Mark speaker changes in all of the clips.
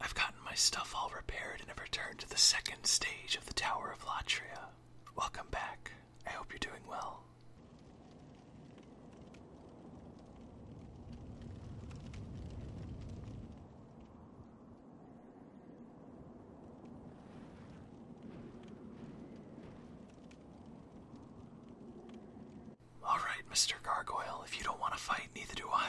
Speaker 1: I've gotten my stuff all repaired and have returned to the second stage of the Tower of Latria. Welcome back. I hope you're doing well. Alright, Mr. Gargoyle, if you don't want to fight, neither do I.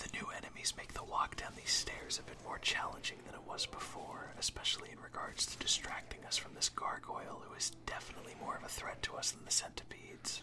Speaker 1: The new enemies make the walk down these stairs a bit more challenging than it was before, especially in regards to distracting us from this gargoyle who is definitely more of a threat to us than the centipedes.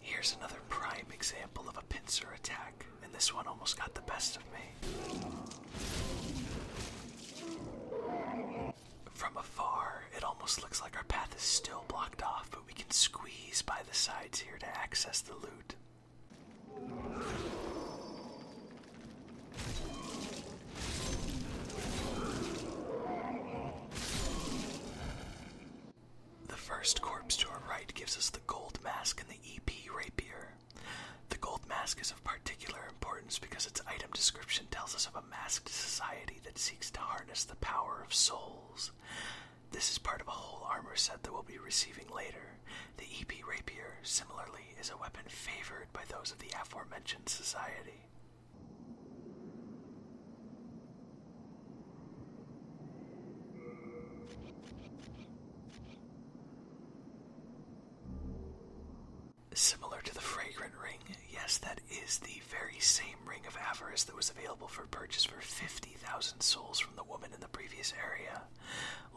Speaker 1: Here's another prime example of a pincer attack, and this one almost got the best of me. From afar, it almost looks like our path is still blocked off, but we can squeeze by the sides here to access the loot. The first corpse to our right gives us the gold mask and the EP rapier. The gold mask is of particular importance because its item description tells us of a masked society that seeks to harness the power of souls. This is part of a whole armor set that we'll be receiving later. The EP rapier, similarly, is a weapon favored by those of the aforementioned society. Similar to the fragrant ring, yes, that is the very same ring of avarice that was available for purchase for 50,000 souls from the woman in the previous area.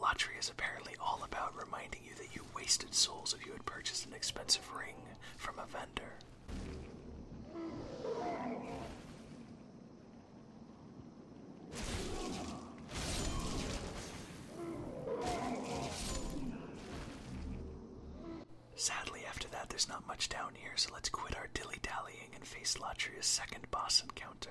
Speaker 1: Latria is apparently all about reminding you that you wasted souls if you had purchased an expensive ring from a vendor. Sadly, after that, there's not much down here, so let's quit our dilly dallying and face Latria's second boss encounter.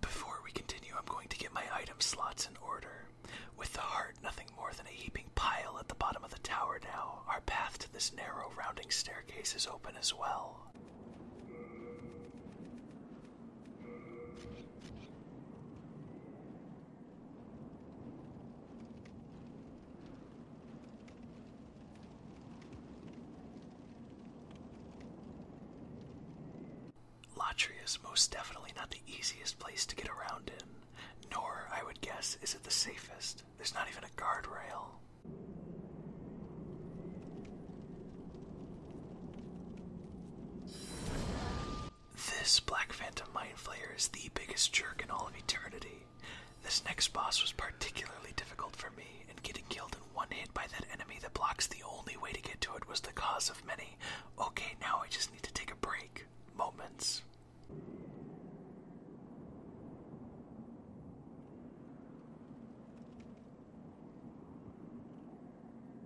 Speaker 1: Before we continue, I'm going to get my item slots in order. With the heart, nothing more than a heaping pile at the bottom of the tower now, our path to this narrow, rounding staircase is open as well. Latria is most definitely not the easiest place to get around in, nor, I would guess, is it the safest. There's not even a guardrail. This Black Phantom Mind Flayer is the biggest jerk in all of eternity. This next boss was particularly difficult for me, and getting killed in one hit by that enemy that blocks the only way to get to it was the cause of many. Okay, now I just need to take a break. Moments.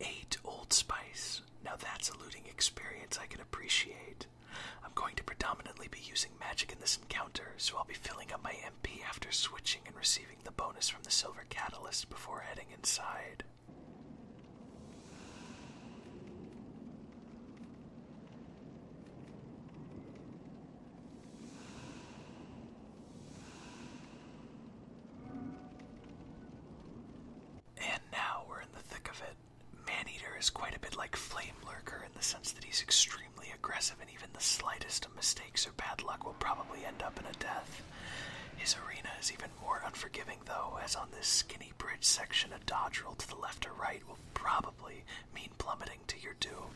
Speaker 1: 8 Old Spice. Now that's a looting experience I can appreciate. I'm going to predominantly be using magic in this encounter, so I'll be filling up my MP after switching and receiving the bonus from the Silver Catalyst before heading inside. And now we're in the thick of it. Maneater is quite a bit like Flame Lurker in the sense that he's extremely aggressive, and even the slightest of mistakes or bad luck will probably end up in a death. His arena is even more unforgiving, though, as on this skinny bridge section, a dodge to the left or right will probably mean plummeting to your doom.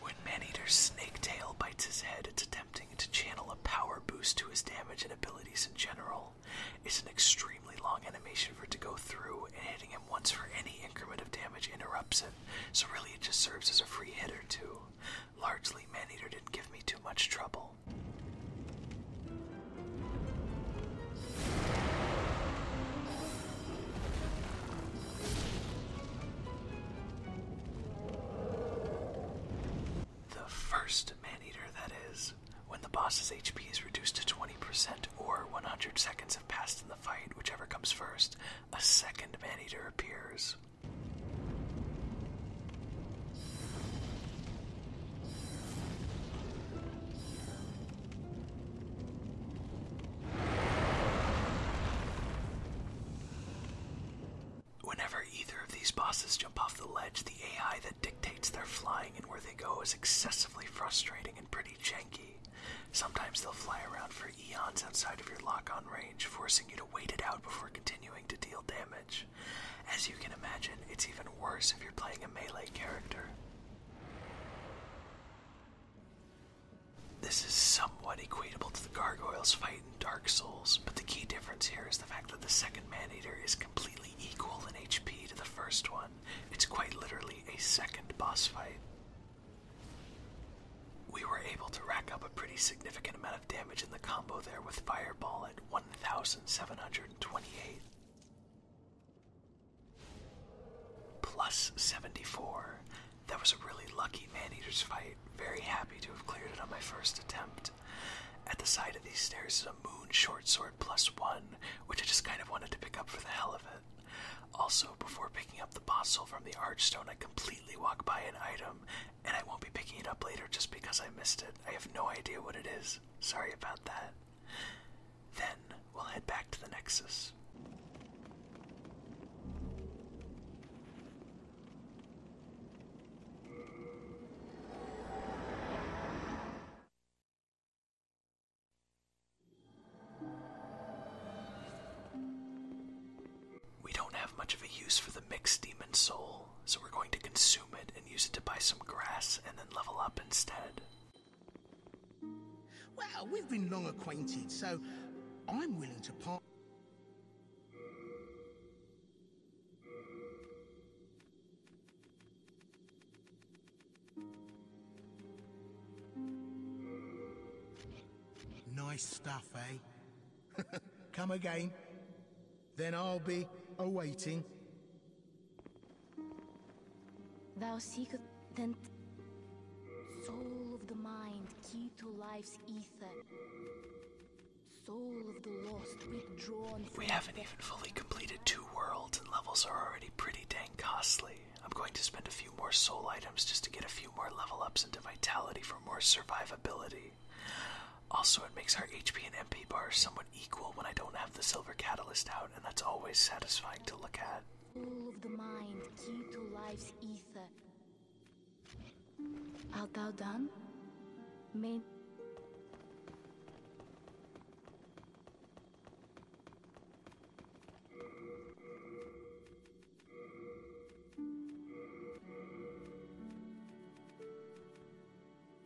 Speaker 1: When Maneater's snake tail bites his head, it's attempting to channel a power boost to his damage and abilities in general. It's an extremely long animation for it to go through, and hitting him once for any increment of damage interrupts it, so really it just serves as a free hit or two. Largely, Man Eater didn't give me too much trouble. The first Maneater, that is, when the boss's HP is reduced to 20% or 100 seconds have passed in the fight, whichever comes first, a second Man Eater appears. Whenever either of these bosses jump off the ledge, the AI that dictates their flying and where they go is excessively frustrating and pretty janky. Sometimes they'll fly around for eons outside of your lock on range, forcing you to wait it out before continuing to deal damage. As you can imagine, it's even worse if you're playing a melee character. This is somewhat equatable to the Gargoyles fight in Dark Souls, but the key difference here is the fact that the second man eater is completely equal in HP to the first one. It's quite literally a second boss fight. We were able to rack up a pretty significant amount damage in the combo there with Fireball at 1,728. Plus 74. That was a really lucky Maneater's fight. Very happy to have cleared it on my first attempt. At the side of these stairs is a Moon Short Sword plus 1, which I just kind of wanted to pick up for the hell of it. Also, before picking up the Bossel from the Archstone, I completely walk by an item and I won't be picking it up later just because I missed it. I have no idea what it is. Sorry about that. Then we'll head back to the Nexus. We don't have much of a use for the mixed demon soul, so we're going to consume it and use it to buy some grass and then level up instead. Well, we've been long acquainted, so I'm willing to part. Nice stuff, eh? Come again. Then I'll be awaiting. Thou seeketh then soul of the mind, key to life's ether. Soul of the lost, withdrawn. We haven't even fully completed two worlds, and levels are already pretty dang costly. I'm going to spend a few more soul items just to get a few more level ups into vitality for more survivability. Also, it makes our HP and MP bars somewhat equal when I don't have the silver catalyst out, and that's always satisfying to look at. Rule of the mind, key to life's ether. Art thou done? Main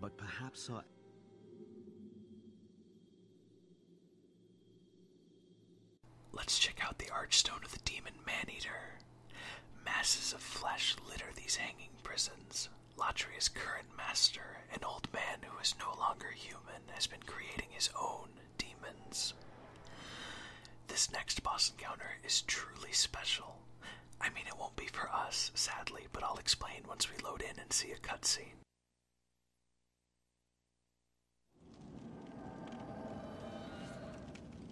Speaker 1: But perhaps Let's check out the Archstone of the Demon Man-Eater. Masses of flesh litter these hanging prisons. Latria's current master, an old man who is no longer human, has been creating his own demons. This next boss encounter is truly special. I mean, it won't be for us, sadly, but I'll explain once we load in and see a cutscene.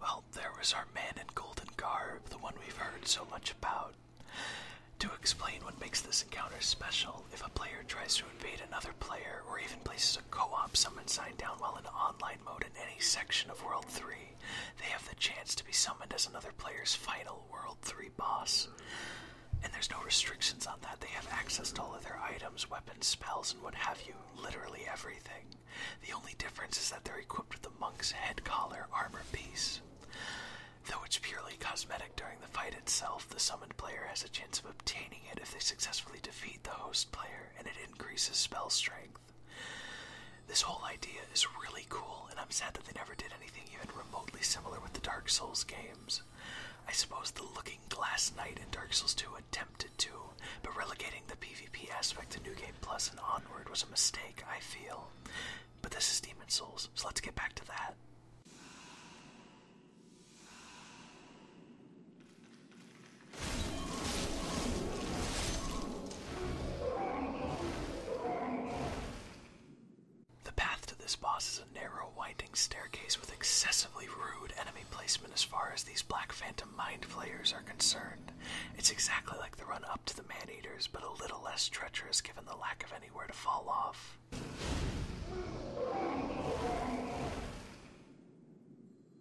Speaker 1: Well, there was our man in golden garb, the one we've heard so much about. To explain what makes this encounter special, if a player tries to invade another player or even places co-op summon sign down while in online mode in any section of World 3. They have the chance to be summoned as another player's final World 3 boss. And there's no restrictions on that. They have access to all of their items, weapons, spells, and what have you. Literally everything. The only difference is that they're equipped with the monk's head collar armor piece. Though it's purely cosmetic during the fight itself, the summoned player has a chance of obtaining it if they successfully defeat the host player, and it increases spell strength. This whole idea is really cool, and I'm sad that they never did anything even remotely similar with the Dark Souls games. I suppose the Looking Glass Knight in Dark Souls 2 attempted to, but relegating the PvP aspect to New Game Plus and onward was a mistake, I feel. But this is Demon Souls, so let's get back to that. The path to this boss is a narrow, winding staircase with excessively rude enemy placement as far as these Black Phantom Mind Flayers are concerned. It's exactly like the run up to the Man Eaters, but a little less treacherous given the lack of anywhere to fall off.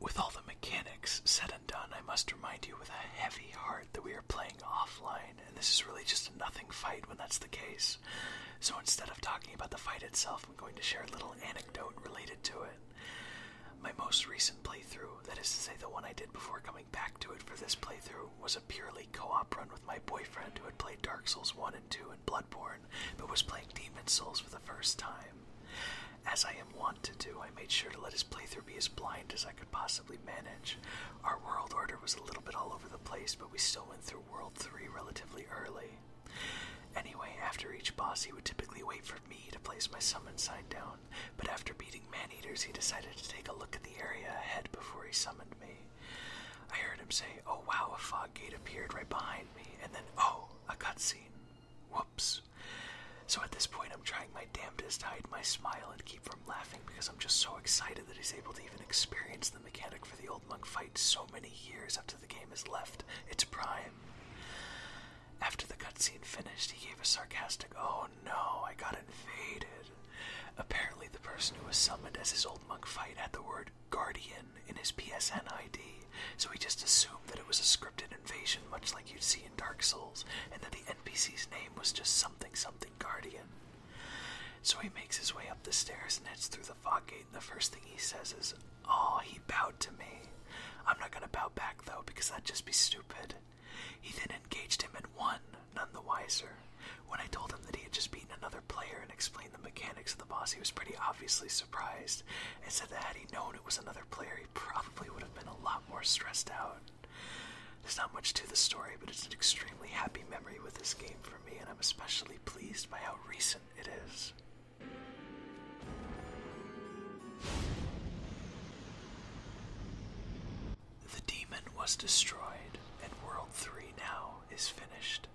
Speaker 1: With all the mechanics said and done, I must remind you with a heavy heart that we are playing offline, and this is really just a nothing fight when that's the case. So instead of talking about the fight itself, I'm going to share a little anecdote related to it. My most recent playthrough, that is to say, the one I did before coming back to it for this playthrough, was a purely co op run my boyfriend who had played Dark Souls 1 and 2 and Bloodborne, but was playing Demon Souls for the first time. As I am wont to do, I made sure to let his playthrough be as blind as I could possibly manage. Our world order was a little bit all over the place, but we still went through World 3 relatively early. Anyway, after each boss, he would typically wait for me to place my summon side down, but after beating Maneaters, he decided to take a look at the area ahead before he summoned me. I heard him say, Oh wow, a fog gate appeared right behind me, and then, oh, a cutscene. Whoops. So at this point, I'm trying my damnedest to hide my smile and keep from laughing because I'm just so excited that he's able to even experience the mechanic for the old monk fight so many years after the game has left its prime. After the cutscene finished, he gave a sarcastic, Oh no, I got invaded. Apparently, the person who was summoned as his old monk fight had the word Guardian in his PSN ID, so he just assumed that it was a scripted invasion, much like you'd see in Dark Souls, and that the NPC's name was just something something Guardian. So he makes his way up the stairs and heads through the fog gate, and the first thing he says is, Oh, he bowed to me. I'm not gonna bow back though, because that'd just be stupid. He then engaged him and won, none the wiser. When I told him that he had just beaten another player and explained the mechanics of the boss, he was pretty obviously surprised and said that had he known it was another player, he probably would have been a lot more stressed out. There's not much to the story, but it's an extremely happy memory with this game for me, and I'm especially pleased by how recent it is. The demon was destroyed, and World 3 now is finished.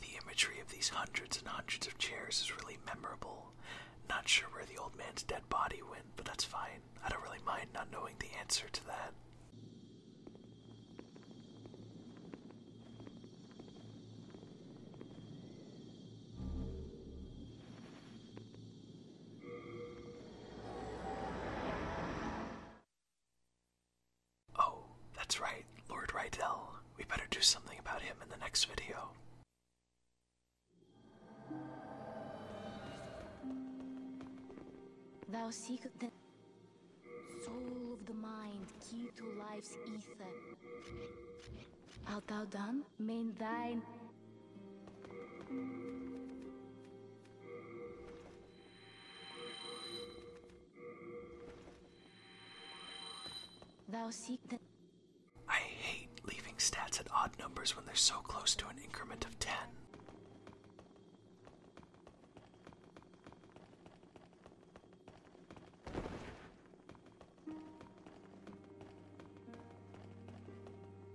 Speaker 1: The imagery of these hundreds and hundreds of chairs is really memorable. Not sure where the old man's dead body went, but that's fine. I don't really mind not knowing the answer to that. Oh, that's right, Lord Rydell. We better do something about him in the next video. Thou seek the soul of the mind, key to life's ether. Art thou done? Main thine. I hate leaving stats at odd numbers when they're so close to an increment of 10.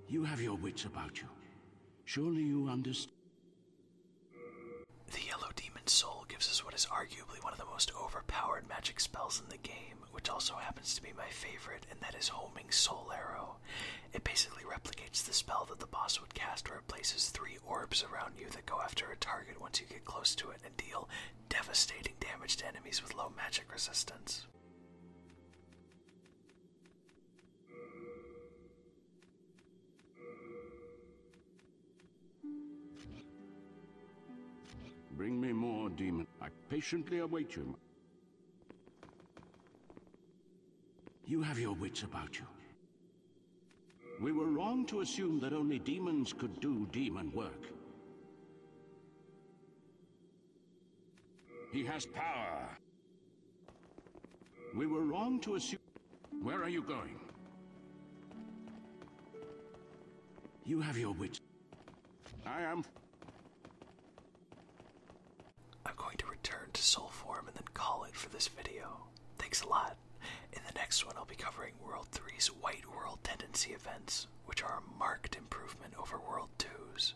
Speaker 1: You have your wits about you. Surely you understand. The Yellow Demon's Soul gives us what is arguably one of the most overpowered magic spells in the game, which also happens to be my favorite, and that is Homing Soul Arrow. It basically replicates the spell that the boss would cast, where it places three orbs around you that go after a target once you get close to it and deal devastating damage to enemies with low magic resistance. Bring me more, demon. I patiently await you. You have your wits about you. We were wrong to assume that only demons could do demon work. He has power. We were wrong to assume... Where are you going? You have your wits. I am... I'm going to return to soul form and then call it for this video. Thanks a lot. In the next one, I'll be covering World 3's White World Tendency events, which are a marked improvement over World 2's.